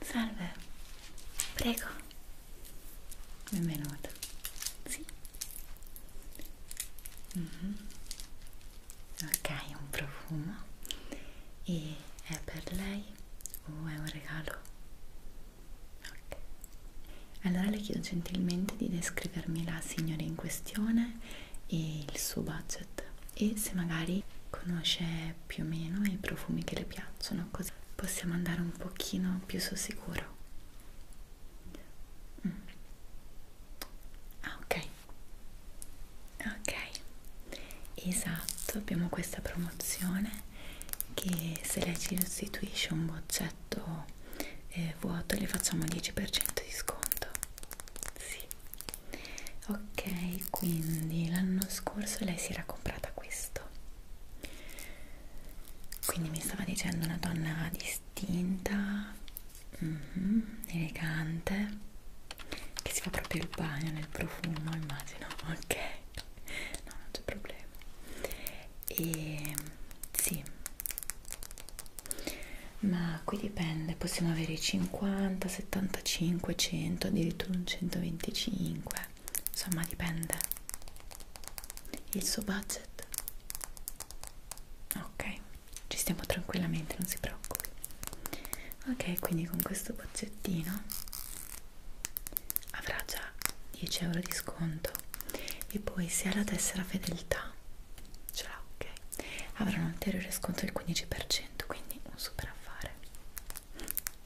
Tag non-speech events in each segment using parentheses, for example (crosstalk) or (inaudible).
Salve, prego. Benvenuto. Sì. Mm -hmm. Ok, un profumo. E è per lei o oh, è un regalo? Ok. Allora le chiedo gentilmente di descrivermi la signora in questione e il suo budget e se magari conosce più o meno i profumi che le piacciono così possiamo andare un pochino più sul sicuro mm. ah ok ok esatto abbiamo questa promozione che se lei ci restituisce un boccetto eh, vuoto le facciamo il 10% di sconto sì. Ok, quindi l'anno scorso lei si era comprata questo. Quindi mi stava dicendo una donna distinta, mm -hmm, elegante, che si fa proprio il bagno nel profumo, immagino. Ok, no, non c'è problema. E ehm, sì, ma qui dipende possiamo avere i 50 75 100 addirittura un 125 insomma dipende il suo budget ok ci stiamo tranquillamente non si preoccupi ok quindi con questo bozzettino avrà già 10 euro di sconto e poi se ha la tessera fedeltà ce l'ha ok avrà un ulteriore sconto del 15% quindi un super affare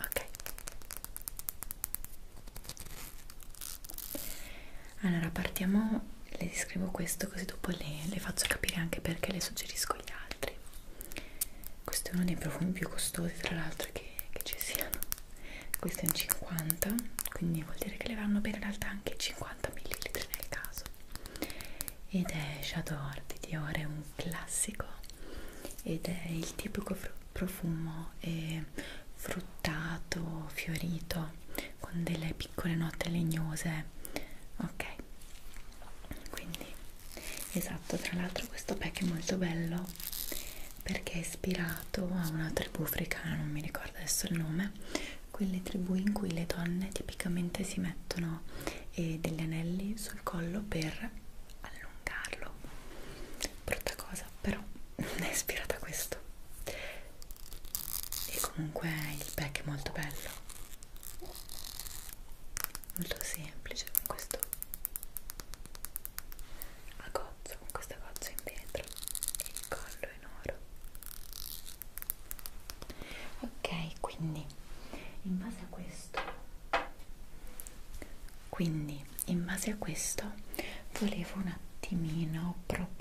ok allora partiamo le scrivo questo così dopo le, le faccio capire anche perché le suggerisco gli altri questo è uno dei profumi più costosi tra l'altro che, che ci siano questo è un 50 quindi vuol dire che le vanno bene in realtà anche 50 ml nel caso ed è Shadow Ordi di Dior, è un classico ed è il tipico profumo è eh, fruttato, fiorito con delle piccole note legnose ok quindi esatto tra l'altro questo pack è molto bello perché è ispirato a una tribù africana non mi ricordo adesso il nome quelle tribù in cui le donne tipicamente si mettono eh, degli anelli sul collo per allungarlo brutta cosa però è ispirata a questo e comunque il pack è molto bello molto semplice con questo a gozzo con questa gozza in vetro e il collo in oro ok quindi in base a questo quindi in base a questo volevo un attimino proporle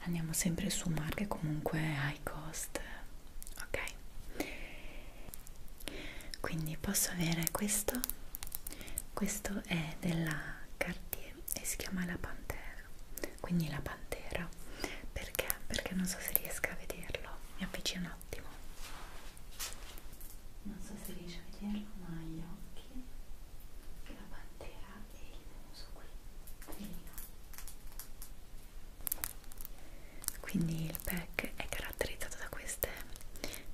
andiamo sempre su marche comunque high cost ok quindi posso avere questo questo è della Cartier Italy e si chiama La Pantera quindi La Pantera perché? perché non so se riesca a vederlo mi avvicino un attimo non so se riesci a vederlo ma gli occhi la pantera e il muso qui Felino. quindi il pack è caratterizzato da queste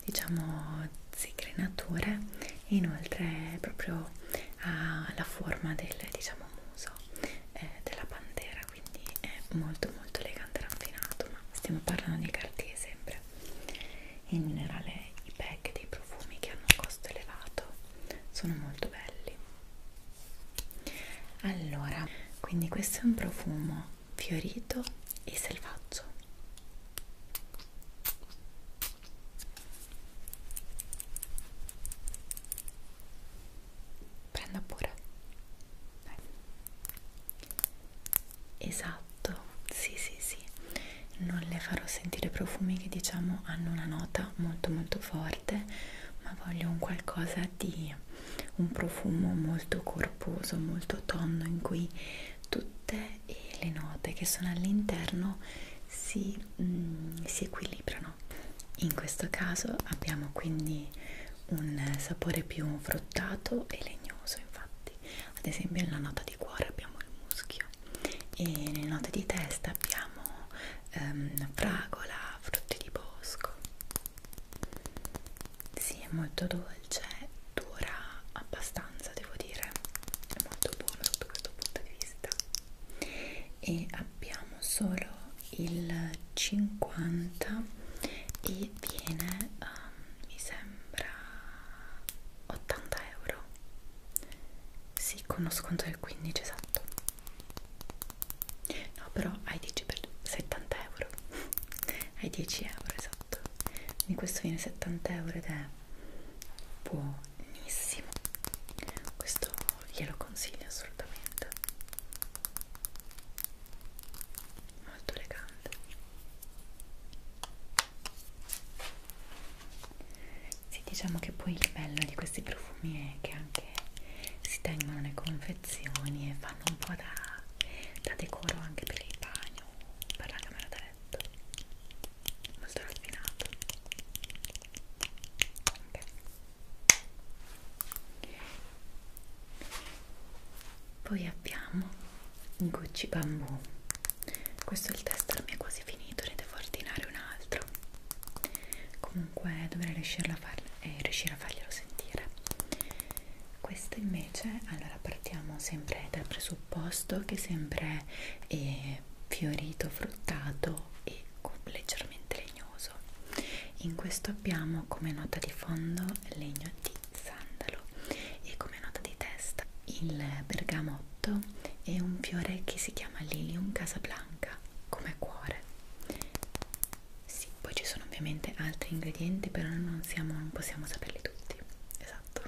diciamo zigrinature e inoltre proprio ha ah, la forma del diciamo muso eh, della pantera quindi è molto molto elegante e raffinato ma stiamo parlando di cartier sempre in generale i pack dei profumi che hanno un costo elevato sono molto belli allora quindi questo è un profumo fiorito e selvaggio prenda pure Dai. esatto sì sì sì non le farò sentire profumi che diciamo hanno una nota molto molto forte ma voglio un qualcosa di un profumo molto corposo molto tonno in cui tutte le note che sono all'interno si poi mh, mm, si equilibrano. In questo caso abbiamo quindi un sapore più fruttato e legnoso, infatti, ad esempio nella nota di cuore abbiamo il muschio e nelle note di testa abbiamo ehm, fragola, frutti di bosco. Sì, è molto dolce, dura abbastanza fragranza devo dire è molto buona sotto questo punto di vista e abbiamo solo il 50 e viene um, mi sembra 80 euro sì con uno sconto del 15 esatto no però hai 10 per 70 euro (laughs) hai 10 euro esatto quindi questo viene 70 euro ed è è buonissimo questo glielo consiglio assolutamente molto elegante sì diciamo che poi il bello di questi profumi è che anche si tengono le confezioni e fanno un po' da, da decoro anche per il bagno per la camera da perfetto molto raffinato ok poi abbiamo Gucci Bambù questo il tester mi è quasi finito ne devo ordinare un altro comunque dovrei riuscire a, far, eh, riuscire a farglielo sentire questo invece allora partiamo sempre dal presupposto che sempre eh, fiorito, fruttato e leggermente legnoso. In questo abbiamo come nota di fondo legno di sandalo e come nota di testa il bergamotto e un fiore che si chiama Lilium Casablanca come cuore. Sì, poi ci sono ovviamente altri ingredienti, però non, siamo, non possiamo saperli tutti. Esatto,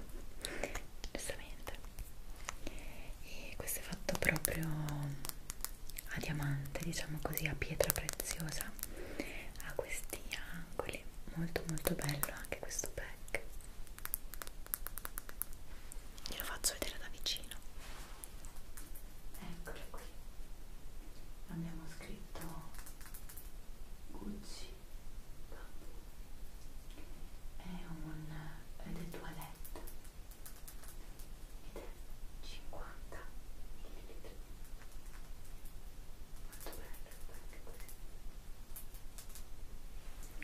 giustamente e questo è fatto proprio a diamante diciamo così a pietra preziosa ha questi angoli molto molto bello anche questo pack glielo faccio vedere da vicino eccolo qui abbiamo scritto Gucci Bamboo è un ed è toilette ed è 50 ml molto bello anche così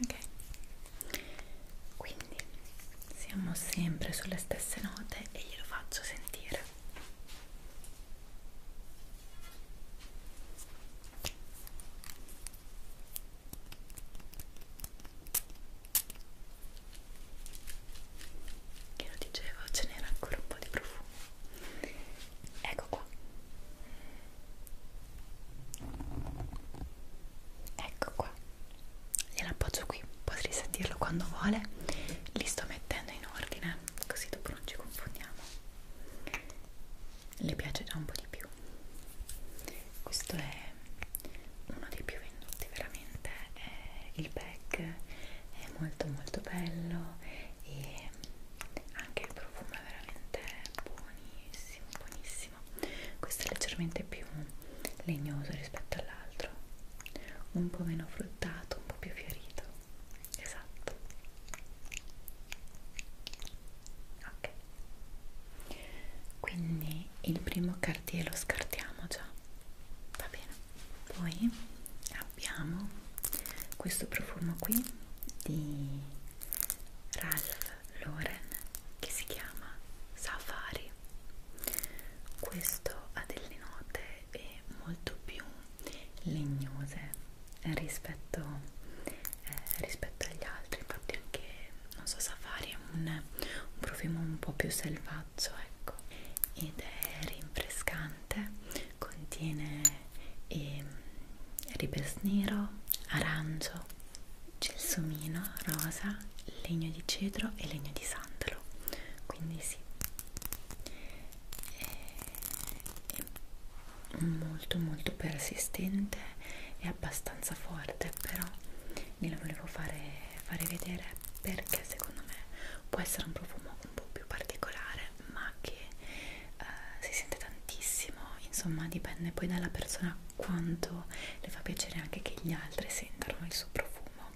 ok quindi siamo sempre sulle stesse note e glielo faccio sentire che lo dicevo ce n'era ancora un po' di profumo ecco qua ecco qua gliel'appoggio qui potete sentirlo quando vuole li sto mettendo in ordine così dopo non ci confondiamo le piace già un po' di più questo è uno dei più venduti veramente eh, il pack è molto molto bello e anche il profumo è veramente buonissimo buonissimo questo è leggermente più legnoso rispetto all'altro un po' meno fruttato un po' più fiorito esatto ok quindi il primo cartier lo scartiamo già va bene poi abbiamo questo profumo qui di Ralph Lauren che si chiama Safari questo ha delle note eh, molto più legnose rispetto, eh, rispetto rispetto agli altri infatti anche non so Safari è un, un profumo un po' più selvaggio ecco ed è rinfrescante contiene eh, ribes nero arancio gelsomino rosa legno di cedro e legno di sandalo quindi sì e, eh, e molto molto persistente e abbastanza forte però gliela volevo fare, fare vedere perché secondo me può essere un profumo un po' più particolare ma che eh, si sente tantissimo insomma dipende poi dalla persona quanto le fa piacere anche che gli altri sentano il suo profumo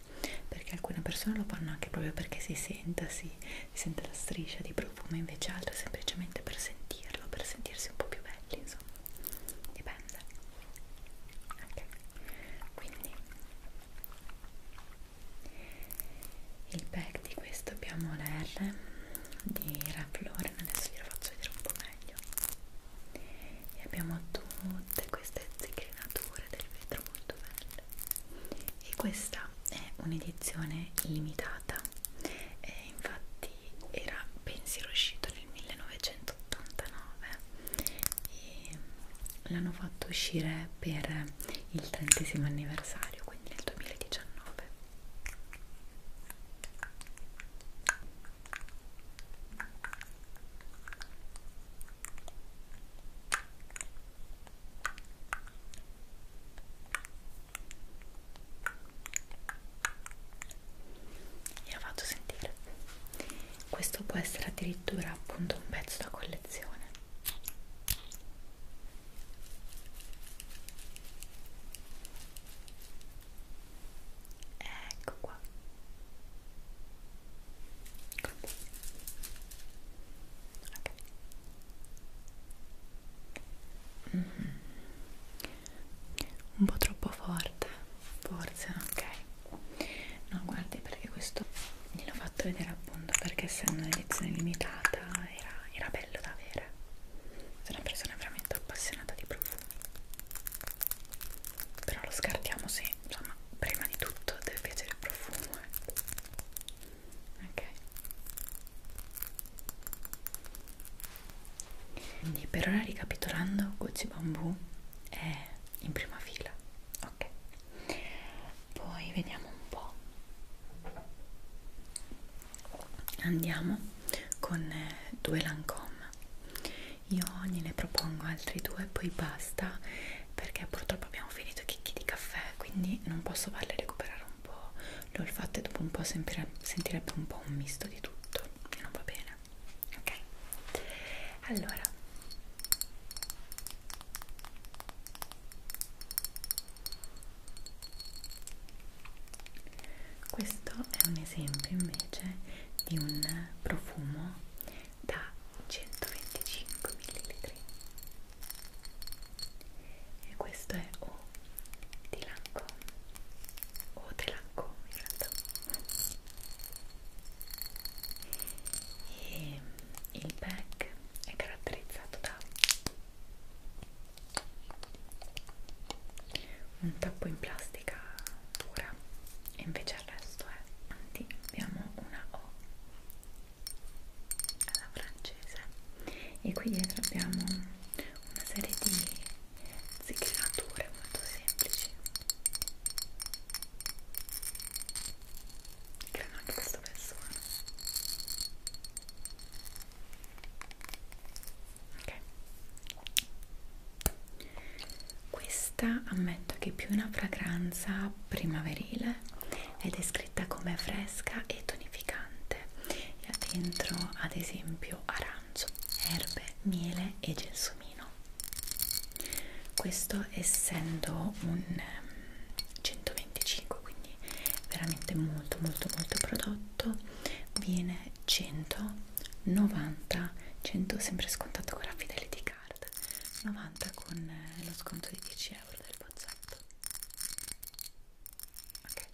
perché alcune persone lo fanno anche proprio perché si senta si, si sente la striscia di profumo invece altre semplicemente per sentirlo per sentirsi un po' più belli insomma penso dipende ok quindi il pack di questo abbiamo la R di Revlon adesso ve lo faccio vedere un po' meglio e abbiamo tutte queste zigrinature del vetro molto belle e questa è un'edizione limitata e infatti infatti era pensiero uscito nel 1989 e l'hanno fatto uscire per il trentesimo anniversario quindi nel 2019 gliela faccio sentire questo può essere addirittura appunto un pezzo da collezione ecco qua Così. ok mm -hmm un po' troppo forte forse ok no guardi perché questo gliel'ho fatto vedere appunto perché essendo un'edizione limitata era, era bello da avere sono una persona veramente appassionata di profumi però lo scartiamo se insomma prima di tutto deve piacere il profumo eh. ok quindi per ora ricapitolando Gucci Bamboo è in prima fila ok poi vediamo un po' andiamo con eh, due Lancome io gliene propongo altri due poi basta perché purtroppo abbiamo finito i chicchi di caffè quindi non posso farle recuperare un un po' l'olfatto e dopo un po' sentire, sentirebbe un po' un misto di tutto che non va bene ok allora questo è un esempio invece di un profumo da 125 ml e questo è O di Lancome o di Lancome in realtà e il pack è caratterizzato da un tappo in plastica pura e invece il resto è anti abbiamo una O alla francese e qui dietro abbiamo una serie di zigrinature molto semplici creano anche questo persone ok questa ammetto che è più una fragranza primaverile ed è descritta come fresca e tonificante e ha dentro ad esempio arancio, erbe, miele e gelsomino. Questo essendo un 125, ehm, quindi veramente molto molto molto prodotto, viene 190, 100 sempre scontato con la Fidelity Card, 90 con eh, lo sconto di 10 euro del bozzotto. Ok.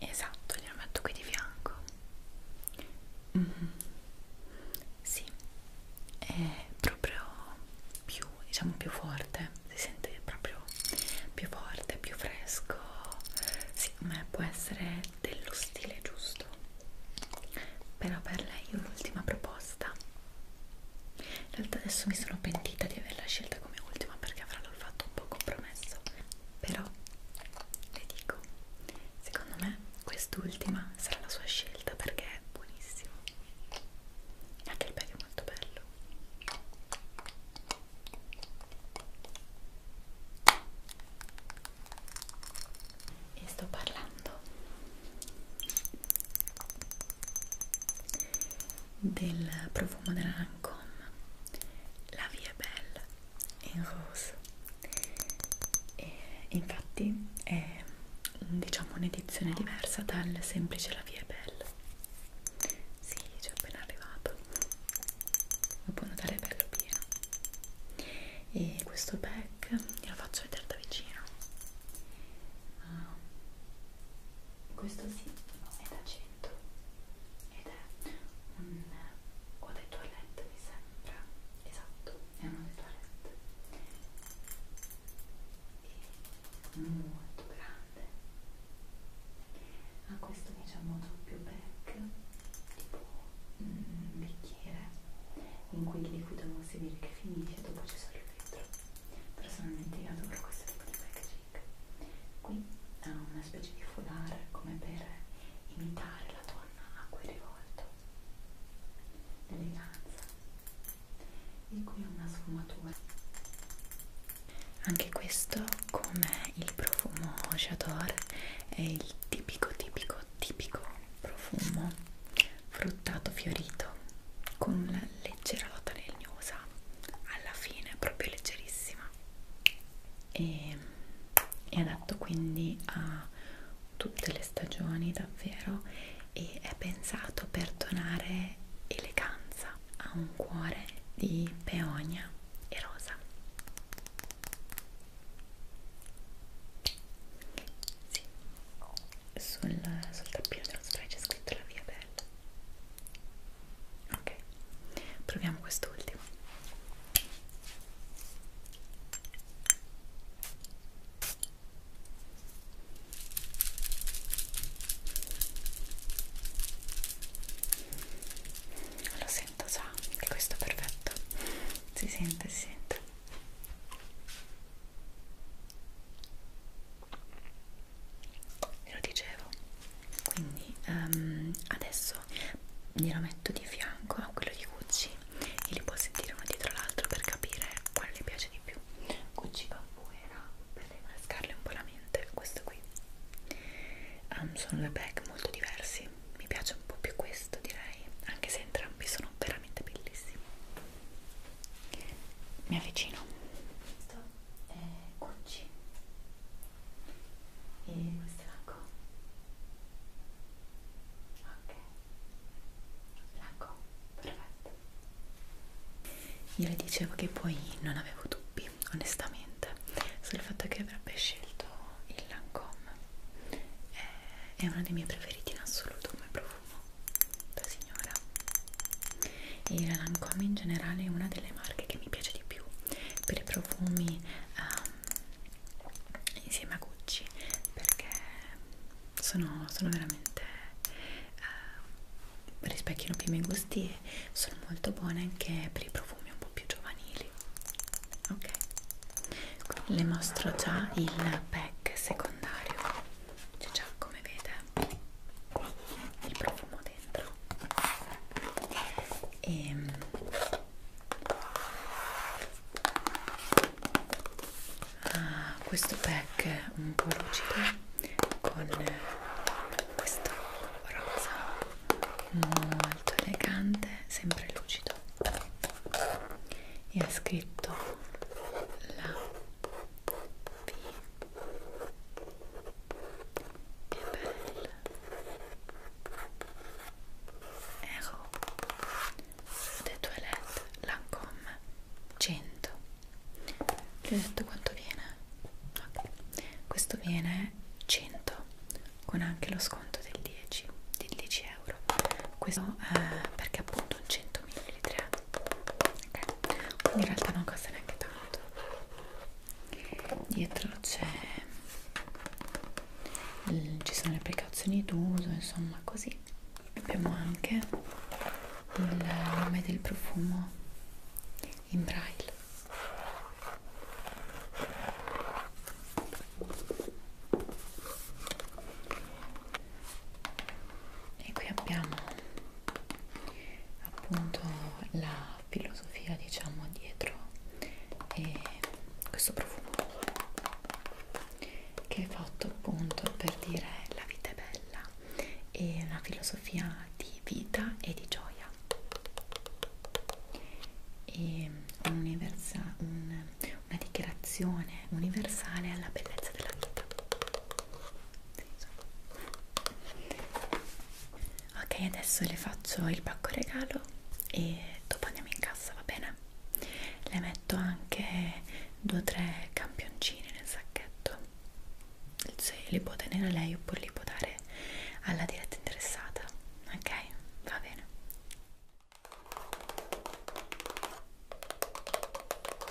esatto glielo metto qui di fianco mm -hmm. sì è proprio più diciamo più forte si sente proprio più forte più fresco sì ma può essere dello stile giusto però per lei ho l'ultima proposta in realtà adesso mi sono pentita di averla scelta come ultima perché avrà tra l'olfatto un po' compromesso però le dico secondo me quest'ultima sarà la sua scelta perché è buonissimo e anche il bello è molto bello e sto parlando del profumo della Lancome La Vie Belle in Rose e infatti è diciamo un'edizione diversa dal semplice La Vie Belle si, sì, ci è appena arrivato lo puoi notare è bello pieno e questo pack glielo faccio vedere da vicino ah, questo sì, è da cena pacchetto ed è un o dei toilette mi sembra esatto è uno dei toilette e molto grande ha questo diciamo doppio back tipo un mm, bicchiere in cui il liquido si vede che finisce dopo ci sono il vetro personalmente io adoro questo tipo di packaging stick qui ha una specie di foulard come per imitare la donna a cui è rivolto l'eleganza e qui ha una sfumatura anche questo come il profumo J'adore è il tipico tipico tipico profumo fruttato fiorito con leggera nota legnosa alla fine, proprio leggerissima e è adatto quindi a tutte le stagioni davvero e è pensato per donare eleganza a un cuore di peonia e rosa sì. sul, sul tappino dello spray c'è scritto la via bella ok proviamo quest'ultimo lo sento già che questo è perfetto si sente si sente ve lo dicevo quindi um, adesso glielo metto di fianco a quello di Gucci e li può sentire uno dietro l'altro per capire quale le piace di più Gucci Bambuera per rinfrescarle un po' la mente questo qui um, sono due bag molto diversi mi piace un po' più questo direi anche se entrambi sono veramente bellissimi mi avvicino è Gucci e questo è Lancome ok Lancome, perfetto io le dicevo che poi non avevo dubbi onestamente sul fatto che avrebbe scelto il Lancome eh, è uno dei miei preferiti in assoluto come profumo da signora e la Lancome in generale è una delle marche che mi piace di più per i profumi um, insieme a Gucci perché sono, sono veramente uh, ehm, rispecchiano più i miei gusti e sono molto buone anche per i profumi un po' più giovanili ok le mostro già il pack secondario c'è già come vede il profumo dentro e ehm, ah, questo pack un po' lucido con questo rosa molto elegante sempre lucido e ha scritto la P che bella! Ero The Toilette Lancome 100 Gli ho detto quanto viene? Okay. Questo viene 100 con anche lo sconto del 10 di 10 euro questo eh, perché appunto 100 ml okay in realtà non costa neanche tanto dietro c'è mm, ci sono le precauzioni d'uso insomma così abbiamo anche il nome del profumo in braille e qui abbiamo appunto la filosofia diciamo dietro e questo profumo che è fatto appunto per dire la vita è bella e una filosofia di vita e di gioia e un, una dichiarazione universale alla bellezza della vita ok adesso le faccio il pacco regalo e dopo andiamo in cassa va bene le metto anche due o tre campioncini nel sacchetto se li può tenere lei oppure li può dare alla diretta interessata ok va bene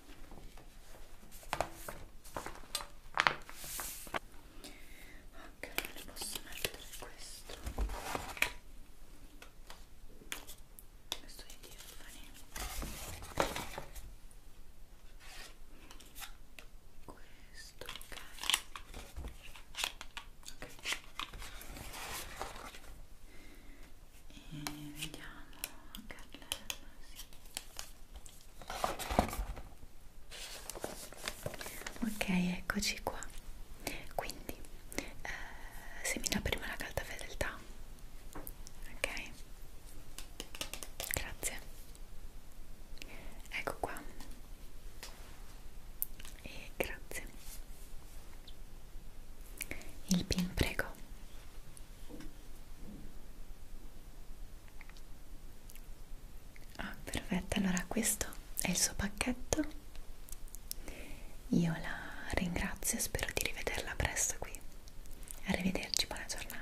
ok ne posso mettere questo questo di Tiffany questo ok ok e vediamo Carlella, sì. ok eccoci qua quindi eh, semina prima la carta fedeltà ok grazie ecco qua e grazie il pin prego Ah, perfetto, allora questo è il suo pacchetto. Io la ringrazio e spero di rivederla presto qui. Arrivederci, buona giornata.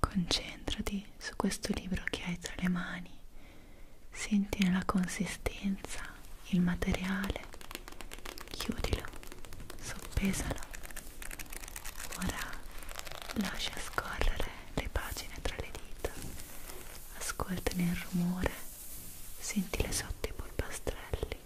Concentrati su questo libro che hai tra le mani, sentine la consistenza, il materiale, chiudilo, soppesalo. Ora lascia scorrere le pagine tra le dita, ascoltane il rumore, sentile sotto i polpastrelli.